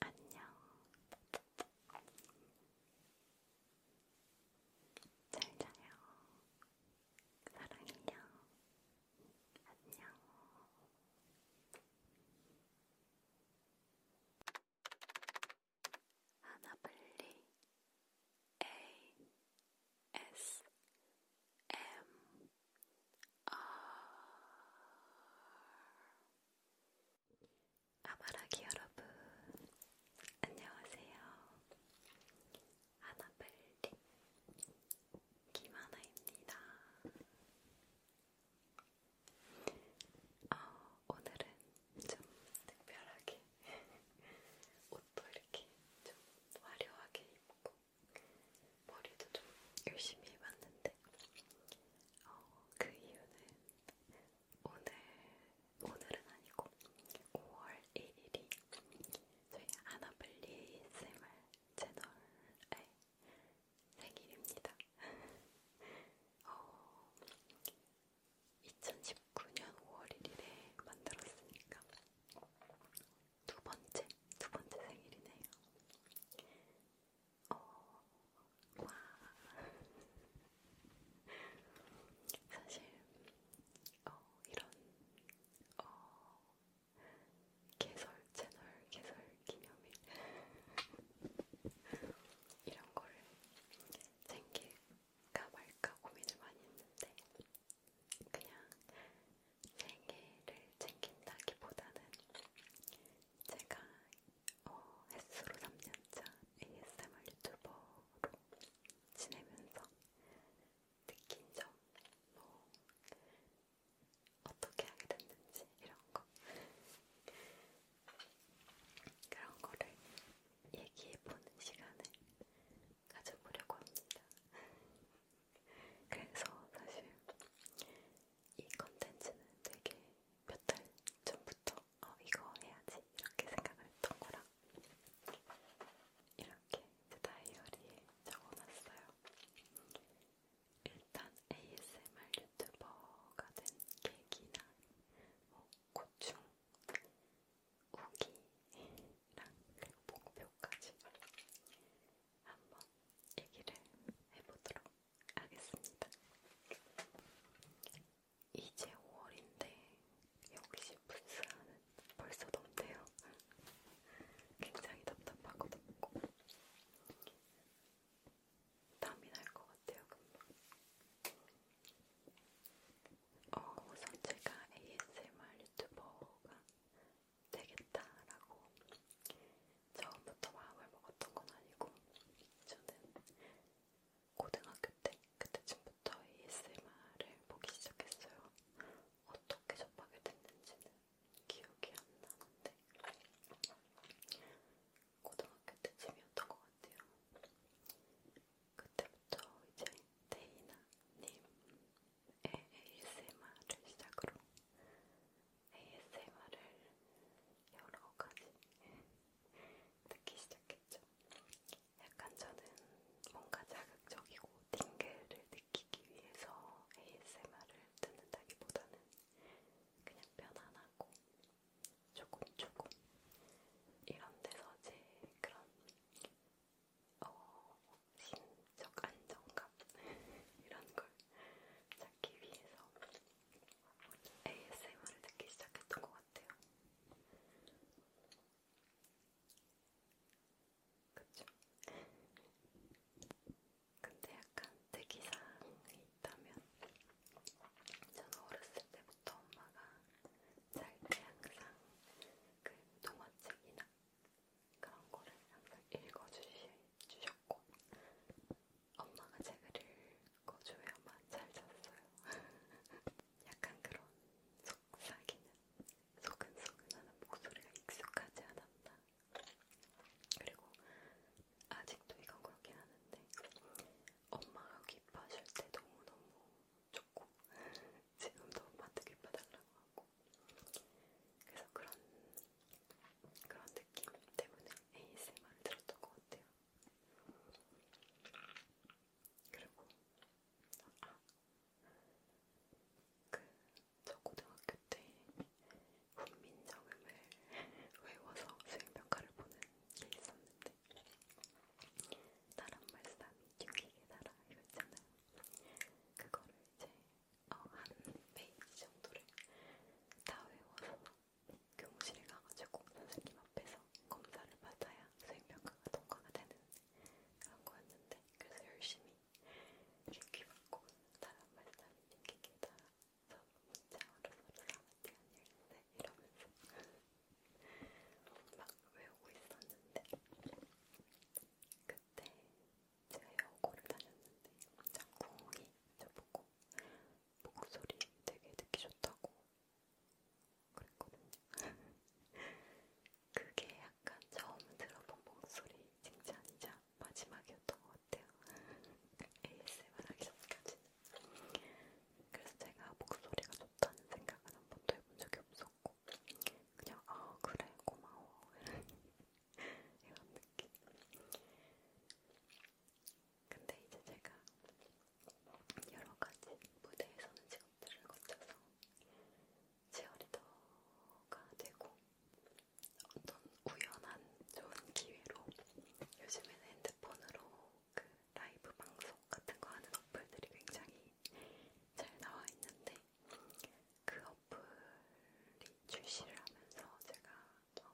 안녕. 잘 자요. 사랑해요. 안녕. 하나블리 ASMR 아바라기 여러분, 안녕하세요. 아나벨리 김하나입니다. 어, 오늘은 좀 특별하게 옷도 이렇게 좀 화려하게 입고 머리도 좀 열심히 해봤는데 어, 그 이유는 오늘, 오늘은 아니고 5월 1일이 저희 아나블리 ASMR 채널의 생일입니다. 어, 2019년 5월 1일에 만들었으니까 두 번째, 두 번째 생일이네요. 어, 와. 사실 어, 이런 어, 개설 채널 개설 기념일 이런 거를 챙길까 말까 고민을 많이 했는데 그냥 생일을 챙긴다기보다는 제가 어, 햇수로 3년차 ASMR 유튜버로 지내면서 느낀 점, 뭐 어떻게 하게 됐는지 이런 거 그런 거를 얘기해보는 시간을 가져보려고 합니다. 그래서 사실 이 컨텐츠는 되게 몇 달 전부터 어 이거 해야지 이렇게 생각을 했던 거라 이렇게 제 다이어리에 적어놨어요. 일단 ASMR 유튜버가 된 계기나 뭐 고충, 후기랑 그리고 목표까지 한번 얘기를 해보도록 하겠습니다. 이제 5월인데 역시 부스안은 벌써 덥네요. 굉장히 답답하고 덥고 땀이 날 것 같아요. 금방. 어, 우선 제가 ASMR 유튜버가 되겠다라고 처음부터 마음을 먹었던 건 아니고 저는 고등학교 때 그때쯤부터 ASMR을 보기 시작했어요. 어떻게 접하게 됐는지는 기억이 안 나는데 고등학교 때쯤이었던 것 같아요. 그때부터 이제 데이나님의 ASMR을 시작으로 ASMR을 여러 가지 듣기 시작했죠. 약간 저는 뭔가 자극적이고 띵글을 느끼기 위해서 ASMR을 듣는다기보다는 그냥 편안하고 조금 조금 이런 데서 제 그런 어, 심적 안정감 이런 걸 찾기 위해서 ASMR을 듣기 시작했던 것 같아요. 그쵸? 근데 약간 특이사항이 있다면 저는 어렸을 때부터 엄마가 잘 때 항상 그 동화책이나 그런 거를 항상 읽어주셨고 엄마가 제그를 꺼줘야만 잘 잤어요. 약간 그런 속삭이는 소근소근하는 목소리가 익숙하지 않았나. 그리고 아직도 이건 그렇긴 하는데 엄마가 기뻐하실 때 너무너무 좋고 지금도 엄마한테 기뻐달라고 하고 그래서 그런 그런 느낌 때문에 ASMR을 들었던 것 같아요. 그리고 아, 그저 고등학교 때 훈민정음을 외워서 수행평가를 보는 게 있었는데 나란 말싸움이 튕기게 달아 이거잖아요. 그거를 이제 어, 한 페이지 정도를 다 외워서 교무실에 가가지고 선생님 앞에서 검사를 받아야 수행평가가 통과가 되는 그런 거였는데 그래서 열심히 귀 받고 다른 말씀이 느끼게 따라서 문자로 서로 사마티 아니었는데 이러면서 막 외우고 있었는데 그때 제가 여고를 다녔는데 짝꿍이 저보고 목소리 되게 듣기 좋다고 그랬거든요. 그게 약간 처음 들어본 목소리 칭찬이자 마지막이었던 것 같아요. ASMR 하기 전까지는. 그래서 제가 목소리가 좋다는 생각은 한 번도 해본 적이 없었고, 그냥, 아, 그래, 고마워. 이런 느낌. 근데 이제 제가 여러 가지 무대에 서는 직업들을 거쳐서 치어리더가 되고 어떤 우연한 좋은 기회로 요즘에는 핸드폰으로 그 라이브 방송 같은 거 하는 어플들이 굉장히 잘 나와 있는데 그 어플이 출시를 하면서 제가 먼저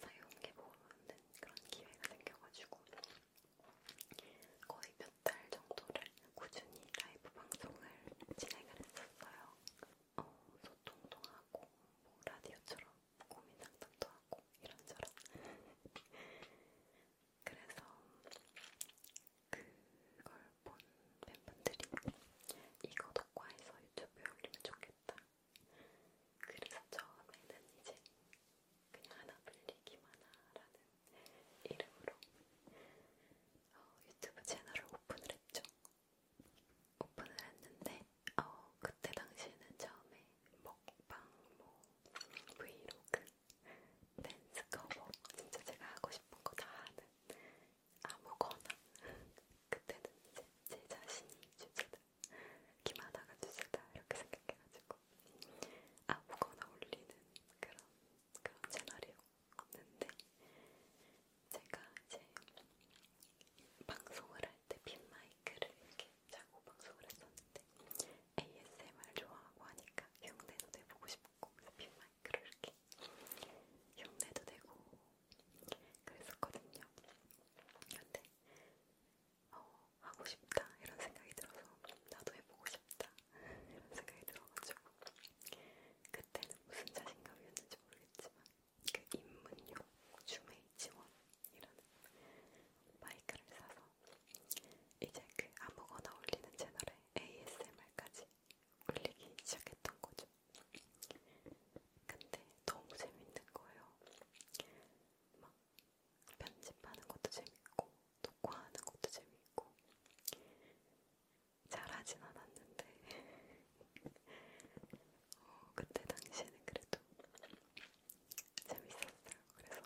사용해보는 그런 기회가 생겨가지고 거의 몇 달 정도를 꾸준히 라이브 방송을 진행을 했었어요. 어, 소통도 하고 뭐 라디오처럼 고민 상담도 하고 이런저런. 그래서 그걸 본 팬분들이 이거 독과해서 유튜브에 올리면 좋겠다. 그래서 처음에는 이제 그냥 하나 불리기만 하라는 이름으로 어, 유튜브 채널을 오픈을 했죠. 오픈을 했는데 어, 그때 당시에는 처음에 먹방, 뭐 브이로그, 댄스 커버 진짜 제가 하고 싶은 거 다 하는 아무거나 그때는 이제 제 자신이 주제다 김하다가 주제다 이렇게 생각해가지고 아무거나 올리는 그런 그런 채널이었는데 제가 이제 방송을 할때 빈마이크를 이렇게 자고 방송을 했었는데 ASMR 좋아하고 하니까 흉내도 내보고 싶고 빈마이크를 이렇게 흉내도 내고 그랬었거든요. 근데 어, 하고 싶다 이런 생각이 들어서 나도 해보고 싶다 이런 생각이 들어가지고 그때는 무슨 자신감이었는지 모르겠지만 그 입문용 주메이 지원이라는 마이크를 사서 이제 그 아무거나 올리는 채널에 ASMR까지 올리기 시작했던 거죠. 근데 너무 재밌는 거예요. 막 편집하는 것도 재밌고 녹화하는 것도 재밌고 잘하진 않았는데 어, 그때 당시에는 그래도 재밌었어요. 그래서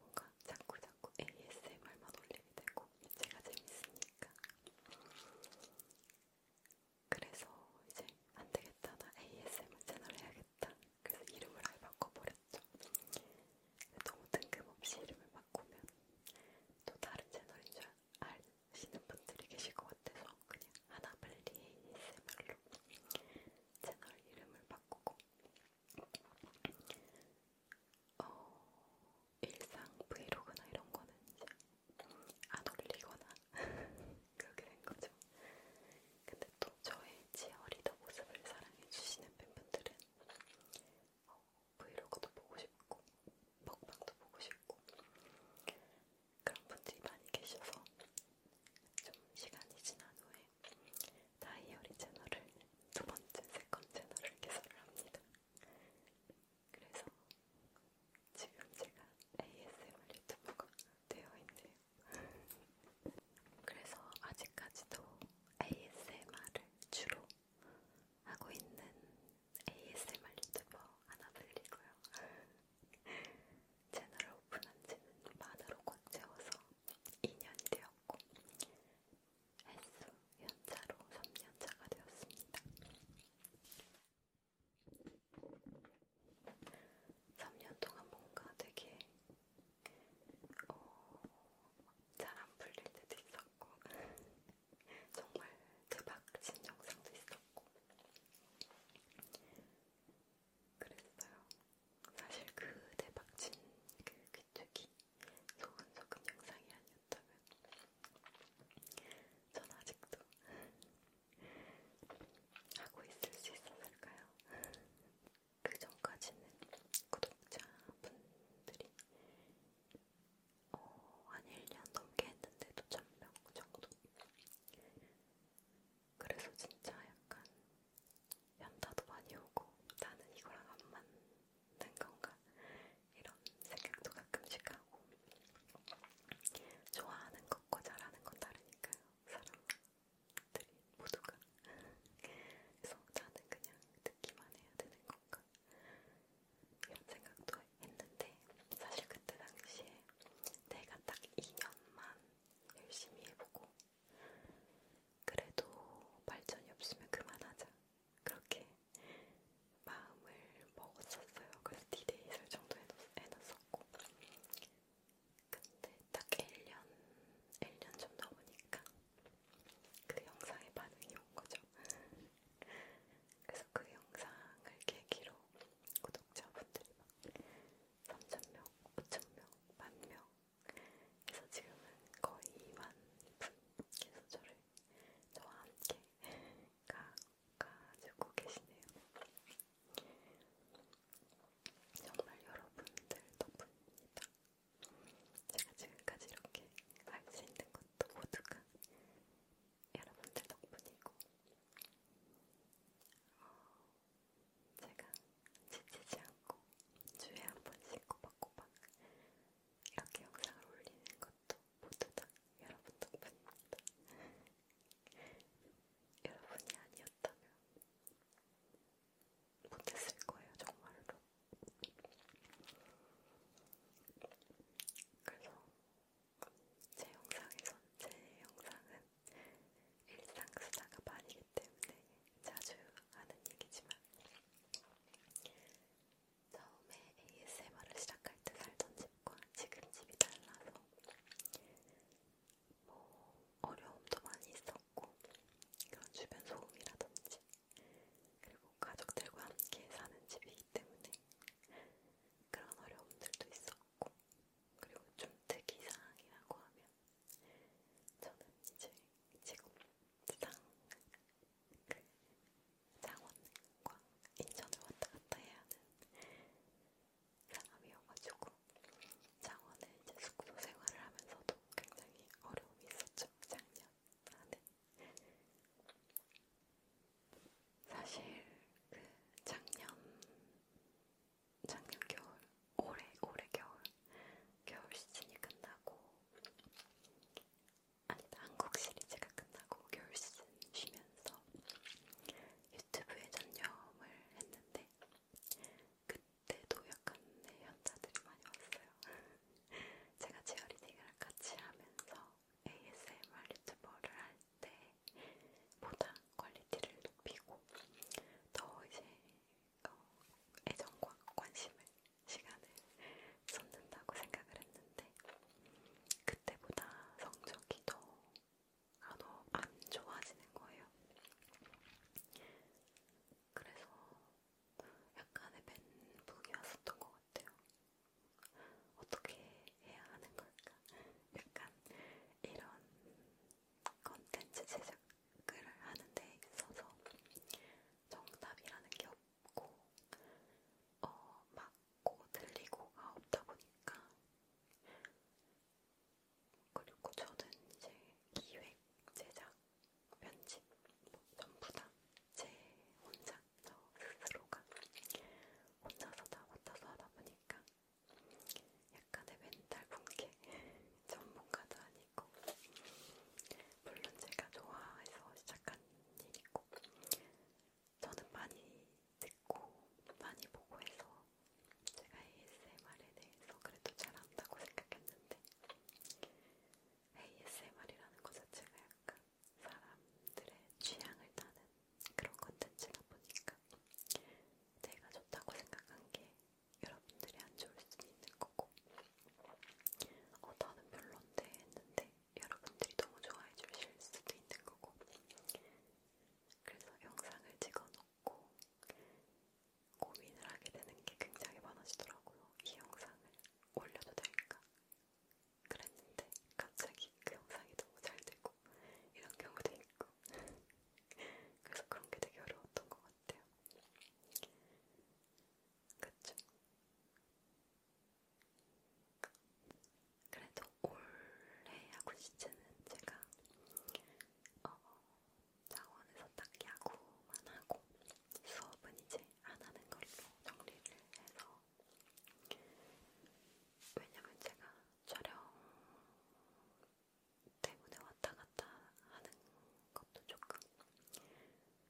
뭔가 자꾸 자꾸 ASMR만 올리게 되고 제가 재밌으니까 그래서 이제 안 되겠다 나 ASMR 채널 해야겠다 그래서 이름을 아예 바꿔버렸죠. 너무 뜬금없이 이름을 바꾸면 또 다른 채널인 줄 아시는 분들이 계실 것 같아서 그냥 하나블리 ASMR로 채널 이름을 바꾸고 어, 일상 브이로그나 이런 거는 이제 안 올리거나 그렇게 된 거죠. 근데 근데 또 저의 치어리더 모습을 사랑해주시는 팬분들은 어, 브이로그도 보고 싶고 먹방도 보고 싶고 그런 분들이 많이 계셔서 좀 시간이 지난 후에 다이어리 채널을 두 번째, 세컨 채널을 개설을 합니다. 그래서 지금 제가 ASMR 유튜버가 되어 있는 그래서 아직까지도 ASMR을 주로 하고 있는 ASMR 유튜버 하나블리고요. 채널을 오픈한 지는 만으로 곧 채워서 2년이 되었고, 횟수 연차로 3년차가 되었습니다. 3년 동안 뭔가 되게 어, 잘안 풀릴 때도 있었고 정말 대박친 영상도 있었고 그랬어요. 사실 그 대박친 그 귀뚜기 그 소근소근 영상이 아니었다면 전 아직도 하고 있을 수 있었을까요? 그 전까지는 구독자분들이 어, 한 1년 넘게 했는데도 1000명 정도. 그래서 진짜 약간 연타도 많이 오고 나는 이거랑 안 맞는 건가? 이런 생각도 가끔씩 하고 좋아하는 것과 잘하는 건 다르니까요. 사람 들이 모두가 그래서 나는 그냥 듣기만 해야 되는 건가 이런 생각도 했는데 사실 그때 당시에 내가 딱 2년만 열심히 해보고 그래도 발전이 없으면 그만하자 그렇게 마음을 먹었었어요. 그래서 디데이 설정도 해놨, 해놨었고 근데 딱 1년, 1년 좀 넘으니까 그 영상에 반응이 온 거죠. 그래서 그 영상을 계기로 구독자분들이 막 3,000명, 5,000명, 만명 그래서 지금은 거의 2만 분 계속 저를 저와 함께 가가지고 계시네요. 정말 여러분들 덕분입니다. 제가 지금까지 이렇게 할 수 있는 것도 모두가 여러분들 덕분이고, 어, 제가 지치지 않고 주에 한 번씩 꼬박꼬박 이렇게 영상을 올리는 것도 모두 다 여러분 덕분입니다. 여러분이 아니었다면 못했을 거예요, 정말로. 그래서 제 영상에선 제 영상은 일상 수다가 말이기 때문에 자주 하는 얘기지만 처음에 ASMR을 시작할 때 살던 집과 지금 집이 달라서 뭐 어려움도 많이 있었고 그런 주변 소음이라든지 그리고 가족들과 함께 사는 집이기 때문에 그런 어려움들도 있었고 그리고 좀 특이사항이라고 하면 저는 이제 지금 상그 창원과 인천을 왔다 갔다 해야 하는 사람이어가지고 창원에 이제 숙소 생활을 하면서도 굉장히 어려움이 있었죠. 작년 안에 사실 그 작년 작년 겨울 올해 올해 겨울 겨울 시즌이 끝나고 아니 한국 시리즈가 끝나고 겨울 시즌 쉬면서 유튜브에 전념을 했는데. 그 때도 약간 네, 현타들이 많이 왔어요. 제가 치어리딩을 같이 하면서 ASMR 유튜버를 할때 보다 퀄리티를 높이고 더 이제 어, 애정과 관심을 시간을 쏟는다고 생각을 했는데 그때보다 성적이 더안 아, 안 좋아지는 거예요. 그래서 약간의 멘붕이 왔었던 것 같아요. 어떻게 해야 하는 걸까? 약간 이런 컨텐츠 제작을 하는데 있어서 정답이라는 게 없고 어, 맞고 들리고가 없다 보니까 그리고 저는 이제 기획, 제작, 편집 뭐 전부 다 제 혼자 저 스스로가 혼자서 다 맡아서 하다 보니까 약간의 멘탈 붕괴 전문가도 아니고 물론 제가 좋아해서 시작한 일이고 저는 많이 듣고 많이 보고 해서 제가 ASMR에 대해서 그래도 잘한다고 생각했는데 ASMR이라는 것 자체가 약간 사람들의 취향을 따는 그런 컨텐츠다 보니까 내가 좋다고 생각한 게 여러분들이 안 좋을 수도 있는 거고 어 나는 별론데 했는데 여러분들이 너무 좋아해 주실 수도 있는 거고 그래서 영상을 찍어놓고 있고 고민을 하게 되는 게 굉장히 많아지더라고요. 이 영상을 올려도 될까? 그랬는데 갑자기 그 영상이 너무 잘 되고 이런 경우도 있고 그래서 그런 게 되게 어려웠던 것 같아요. 그쵸? 그래도 올해 하고 싶지는 제가 어, 자원에서 딱히 야구만 하고 수업은 이제 안 하는 걸로 정리를 해서 왜냐면 제가 촬영 때문에 왔다 갔다 하는 것도 조금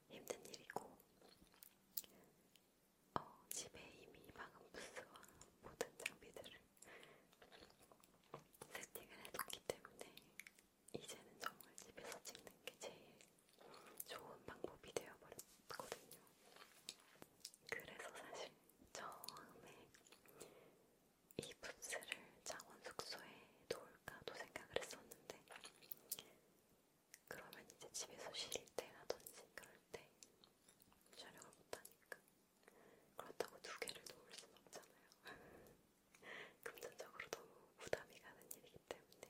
힘든 일이고 어, 집에 이미 방음 부스와 모든 장비들을 세팅을 해뒀기 때문에 이제는 정말 집에서 찍는 게 제일 좋은 방법이 되어버렸거든요. 그래서 사실 처음에 이 붓스를 장원 숙소에 놓을까도 생각을 했었는데 그러면 이제 집에서 쉴 때라든지 그럴 때 촬영을 못하니까 그렇다고 두 개를 놓을 순 없잖아요. 금전적으로 너무 부담이 가는 일이기 때문에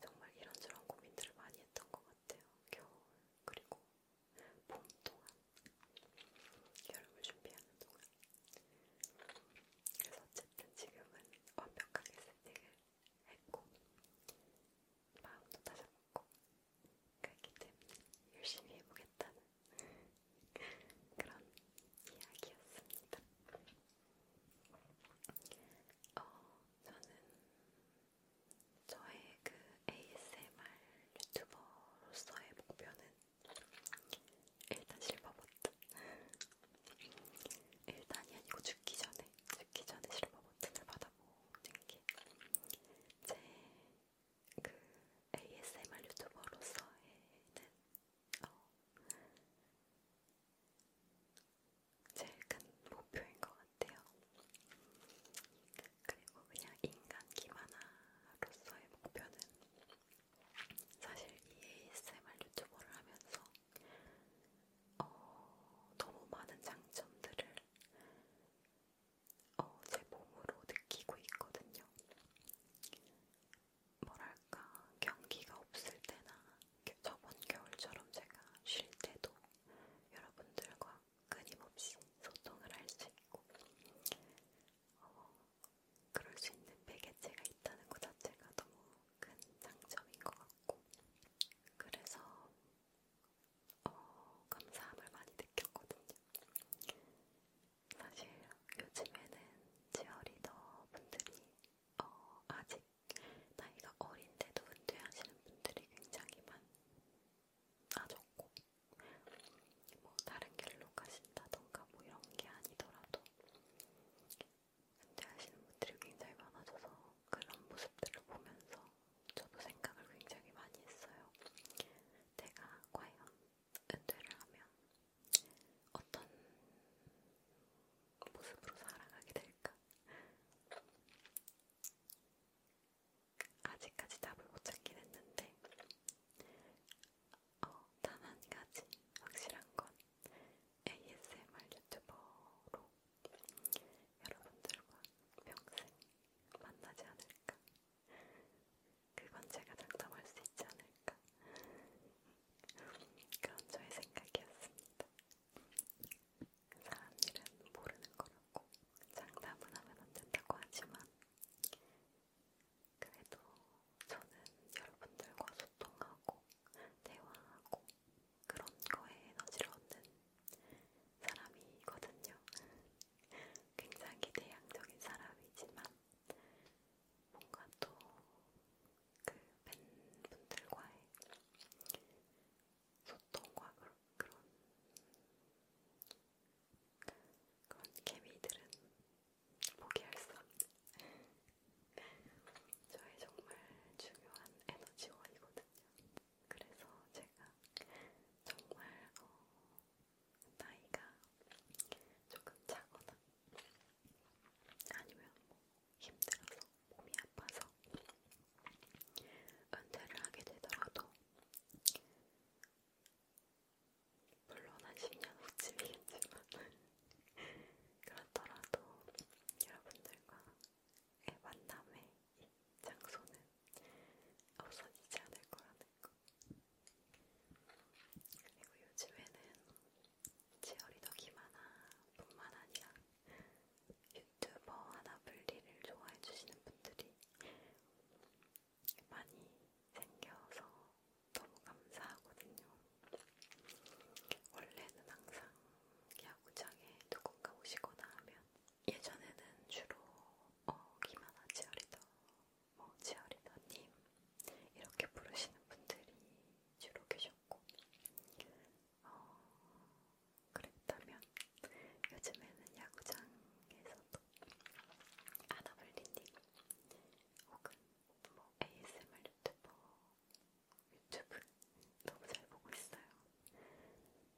정말 이런저런 고민들을 많이 했던 것 같아요. 겨울 그리고 봄 동안 여름을 준비하는 동안 그래서 어쨌든 지금은 완벽하게 세팅을 했고 마음도 다잡고 그렇기 때문에 열심히 해보겠다는 그런 이야기였습니다. 어, 저는 저의 그 ASMR 유튜버로서의 목표는 일단 실버버튼 일단이 아니고 죽기 전에 죽기 전에 실버버튼을 받아보는 게제그 ASMR 유튜버로서의 어, 제일 큰 목표인 것 같아요. 그리고 그냥 인간 기만화로서의 목표는 사실 이 ASMR 유튜버를 하면서 어, 너무 많은 장점들을 어, 제 몸으로 느끼고 있거든요. 뭐랄까 경기가 없을 때나 저번 겨울처럼 제가 쉴 때도 여러분들과 끊임없이 소통을 할 수 있고 어, 그럴 수 있는 매개체가 있다는 것 자체가 너무 큰 장점인 것 같고 그래서 어, 감사함을 많이 느꼈거든요. 사실 요즘에는 치어리더 분들이 어, 아직 나이가 어린데도 은퇴하시는 분들이 굉장히 많아졌고 뭐 다른 길로 가신다던가 뭐 이런 게 아니더라도 은퇴하시는 분들이 굉장히 많아져서 그런 모습들을 보면서 저도 생각을 굉장히 많이 했어요. 내가 과연 은퇴를 하면 어떤 모습으로 살아가게 될까? 아직까지 답을 못 찾긴 했는데, 어, 단한 가지 확실한 건 ASMR 유튜버로 여러분들과 평생 만나지 않을까 그건 제가 장담할 수 있지 않을까. 그런 저의 생각이었습니다. 사람 일은 모르는 거라고 장담은 하면 안 된다고 하지만 그래도 저는 여러분들과 소통하고 대화하고 그런 거에 에너지를 얻는 사람이거든요. 굉장히 대향적인 사람이지만 뭔가 또 그 팬분들과의 소통과 그런 그런, 그런 케미들은 포기할 수 없는 저의 정말 중요한 에너지원이거든요. 그래서 제가 정말 어, 나이가 조금 차거나 아니면 뭐 힘들어서 몸이 아파서 은퇴를 하게 되더라도 물론 한 10년 후쯤이겠지만 그렇더라도 여러분들과의 만남의 장소는 없어지지 않을 거라는 거. 그리고 요즘에는 치어리더 김하나 뿐만 아니라 유튜버 하나 분리를 좋아해주시는 분들이 많이 생겨서 너무 감사하거든요. 원래는 항상 야구장에 누군가 오시거나 하면 예전에는 주로 어, 김하나 치어리더, 뭐 치어리더님 이렇게 부르시는 분들이 주로 계셨고 어, 그랬다면 요즘에는 야구장에서도 아나블리님 혹은 뭐 ASMR 유튜버 유튜브 너무 잘 보고 있어요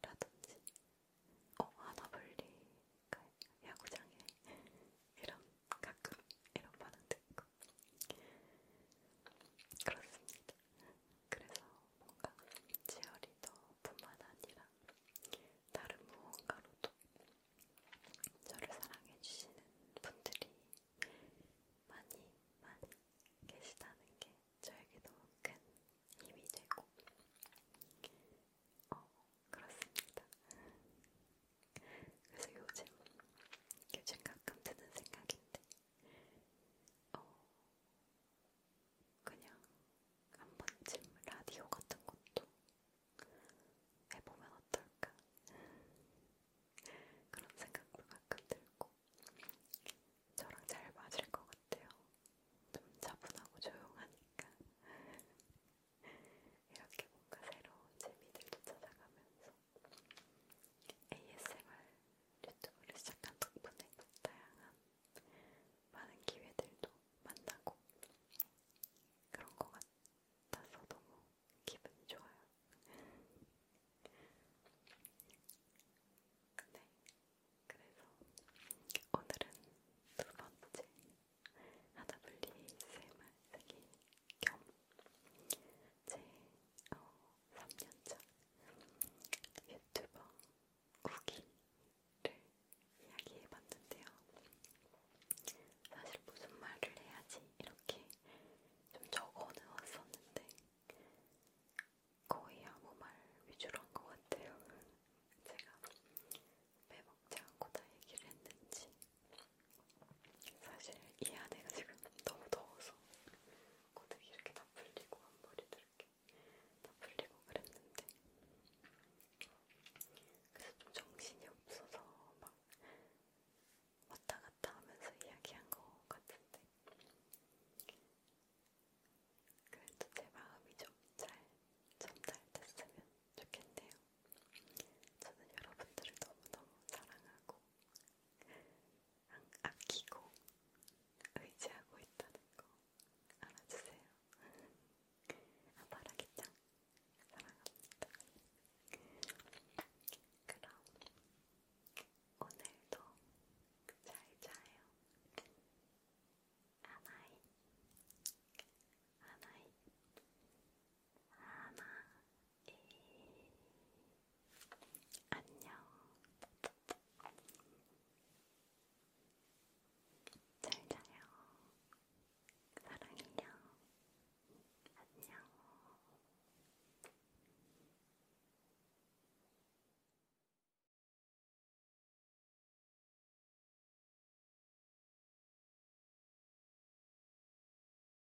라든지 어 아나블리가 야구장에 이런 가끔 이런 반응 듣고 그렇습니다. 그래서 뭔가 제어리더뿐만 아니라 다른 무언가로도 저를 사랑해주시는 분들이 많이 많이 계시다는 게 저에게도 큰 힘이 되고 어, 그렇습니다. 그래서 요즘, 요즘 가끔 드는 생각인데, 어, 그냥 한 번쯤 라디오 같은 것도 해보면 어떨까? 그런 생각도 가끔 들고, 저랑 잘 맞을 것 같아요. 좀 차분하고 조용하니까. 이렇게 뭔가 새로운 재미들도 찾아가면서 ASMR 유튜브를 시작한 덕분에 다양한 많은 기회들도 만나고 그런 것 같아서 너무 기분이 좋아요. 네, 그래서 오늘은 두 번째 하다블리 ASMR 쓰기 겸제 어, 3년차 유튜버 우기를 이야기해봤는데요. 사실 무슨 말을 해야지 이렇게 좀 적어놓았었는데 네. 거의 아무 말 위주로 한 것 같아요. 제가 빼먹지 않고 다 얘기를 했는지 사실 이 안에가 지금 너무 더워서 고데기 이렇게 다 풀리고 앞머리도 이렇게 다 풀리고 그랬는데 그래서 좀 정신이 없어서 막 왔다 갔다 하면서 이야기한 것 같은데 그래도 제 마음이 좀잘 전달됐으면 좋겠네요. 저는 여러분들을 너무너무 사랑하고 아끼고 의지하고 있다는 거 알아주세요. 아바라기짱 사랑합니다. 그럼 오늘도 잘 자요. 하나이, 하나이, 하나. 안녕. 잘 자요. 사랑해요. 안녕.